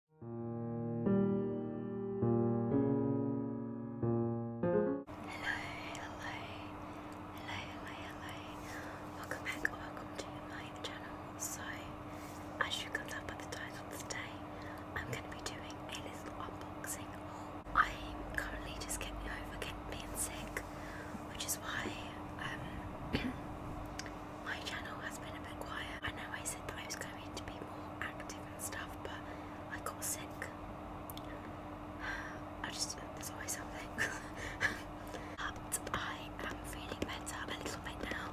hello, hello, hello, hello. Welcome back or welcome to my channel. So, as you can tell by the title today, I'm going to be doing a little unboxing I'm currently just getting over getting being sick, which is why um, my channel has been a bit quiet. I know I said that I was going to be more active and stuff, but I got sick. I just, there's always something. but I am feeling better a little bit now.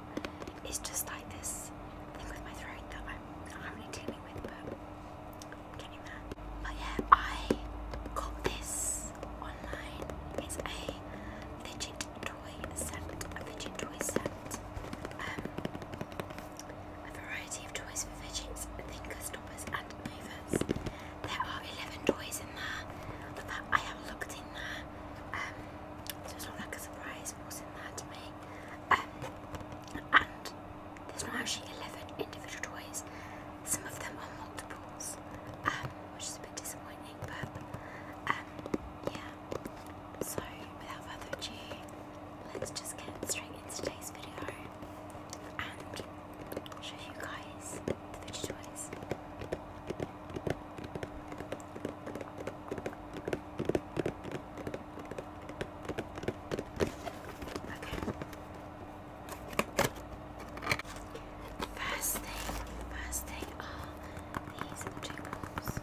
It's just like this thing with my throat that I'm not really dealing with, but I'm getting there. But yeah, I got this online. It's a fidget toy set, a fidget toy set, um, a variety of toys for fidgets, thinker stoppers and movers. There are 11 toys in there, that I have looked in there, um, so it's not like a surprise what's in there to me. Um, and there's not actually 11 individual toys, some of them are multiples, um, which is a bit disappointing. Um, yeah. So without further ado, let's just get straight into today's video and show you guys the veggie toys. First thing, first thing are these two balls.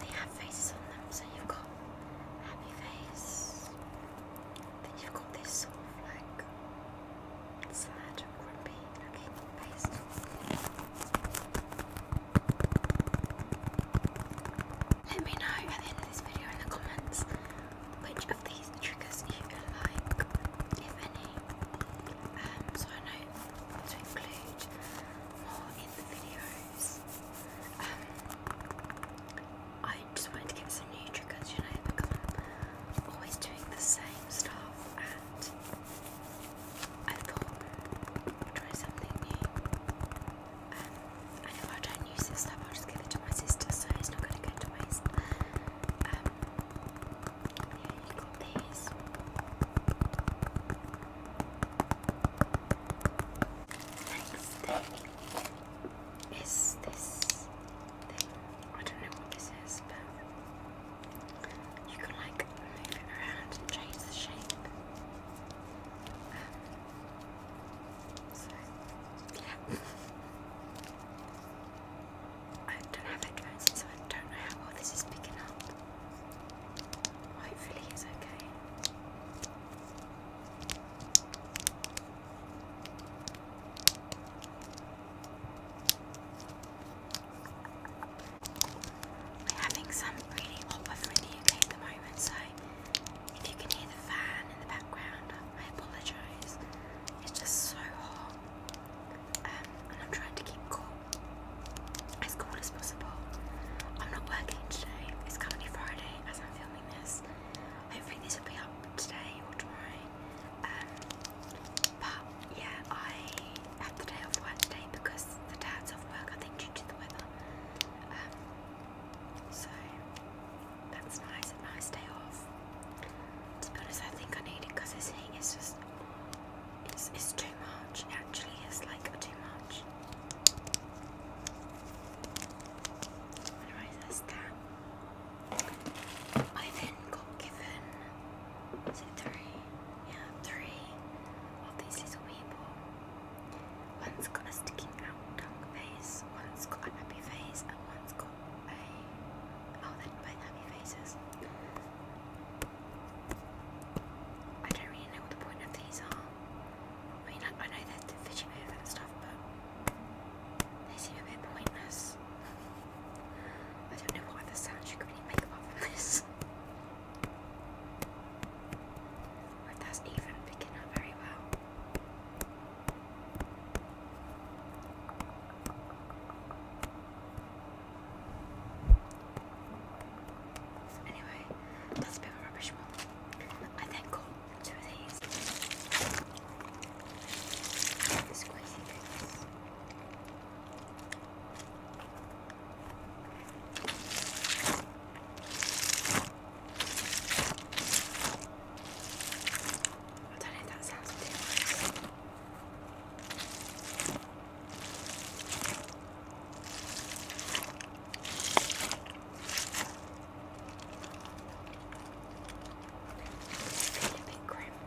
They have faces on them, so you've got happy face. Then you've got this sort of like sad, grumpy looking face. Let me know at the end of this video in the comments which of these triggers you like, if any. Um, so I know to include more in the videos. Um, I just wanted to get some new triggers, you know, I'm always doing the same stuff and I thought try something new. Um, I I don't use this stuff, I'll just give it to my sister so it's not going to go to waste. Um, yeah, you got these. Next thing this I don't know what this is, but you can like move it around and change the shape. So I don't have headphones in, so I don't know how well this is picking up. Hopefully, it's okay. We're having some really hot weather in the UK at the moment, so if you can hear the fan in the background, I apologise. It's just so hot. Um, and I'm trying to keep cool. As cool as possible. I'm not working today. It's currently Friday as I'm filming this. Hopefully this will be up today or tomorrow. Um, but yeah, I had the day off work today because the dad's off work, I think due to the weather. Um, so that's nice, a nice day off. To be honest, I think I need it because this heat is just, it's, too much. actually is like too much. Anyways, that's that. I then got given, three? yeah, three of these little people. One's got a sticking out tongue face, one's got a happy face, and one's got a... oh, they're happy faces. I don't really know what the point of these are. I mean, I, know they're the fishy move and stuff, but they seem a bit pointless. I don't know what other sounds you could really make apart this. that's Anyway, that's a bit of rubbish one. I then got two of these. Squeezy things. I don't know if that sounds too nice. I feel a bit grim.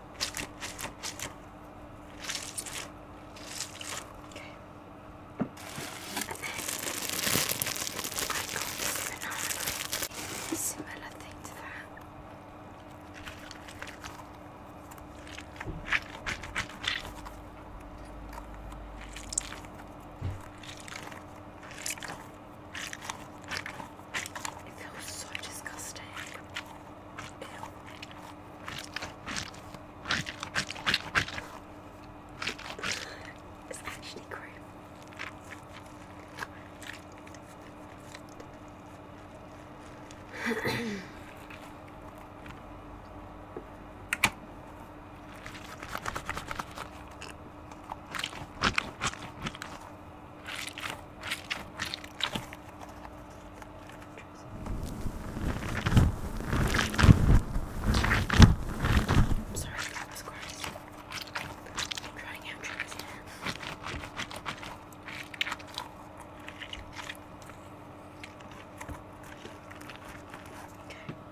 Okay. Similar thing to that. It feels so disgusting. It's actually great. I'm sorry, that was gross. I'm trying out triggers Okay.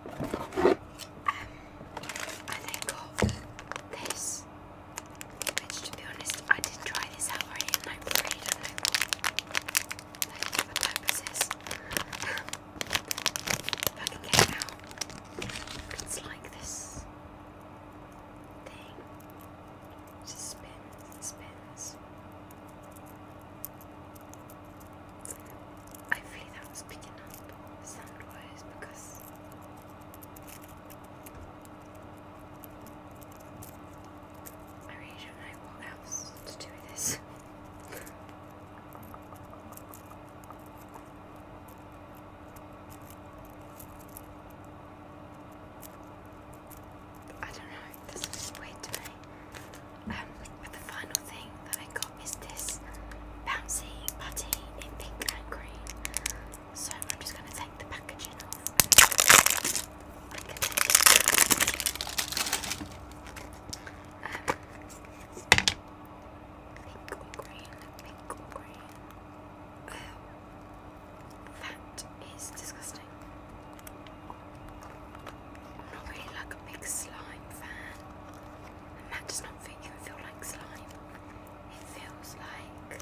Um, I then got this to be honest, I did try this out already and I really don't know what, what type this is. if I can it's like this thing. just spins and Hopefully that was picking up sound wise because I really don't know what else to do with this. I don't know, this looks weird to me. Um, but the final thing that I got is this bouncy putty in pink and green. So I'm just going to take the packaging off. Um, pink green, pink green. Um, that is disgusting. I'm not really like a big slime fan. that does not fit you feel like slime it feels like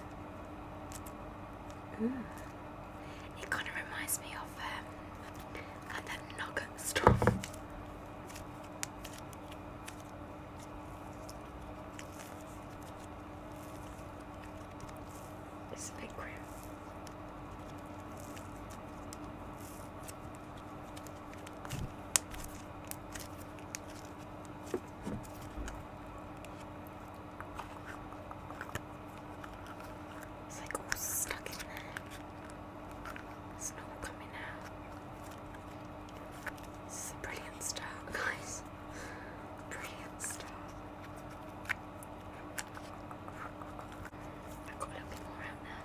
mm. it kind of reminds me of um, like that nugget It's a bit grim. It's like all stuck in there. It's not coming out. This brilliant start, guys. Brilliant start. I've got a little bit more out now.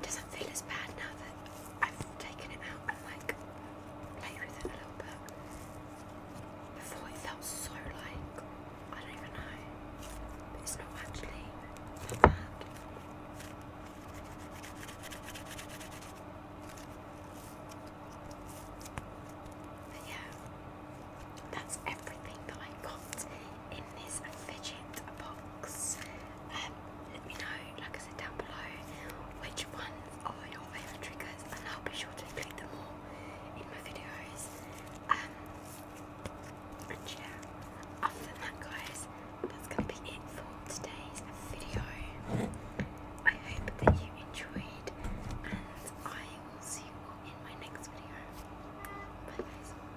It doesn't feel as bad now that I've taken it out and like played with it a little bit. Before it felt so like I don't even know. it's not actually bad. But yeah, that's everything that I got in this fidget box. Um, let me know, like I said down below, which one of your favourite triggers, and I'll be sure to include them all in my videos. Um, and yeah, other than that, guys, that's gonna be it for today's video. I hope that you enjoyed, and I will see you in my next video. Bye, guys.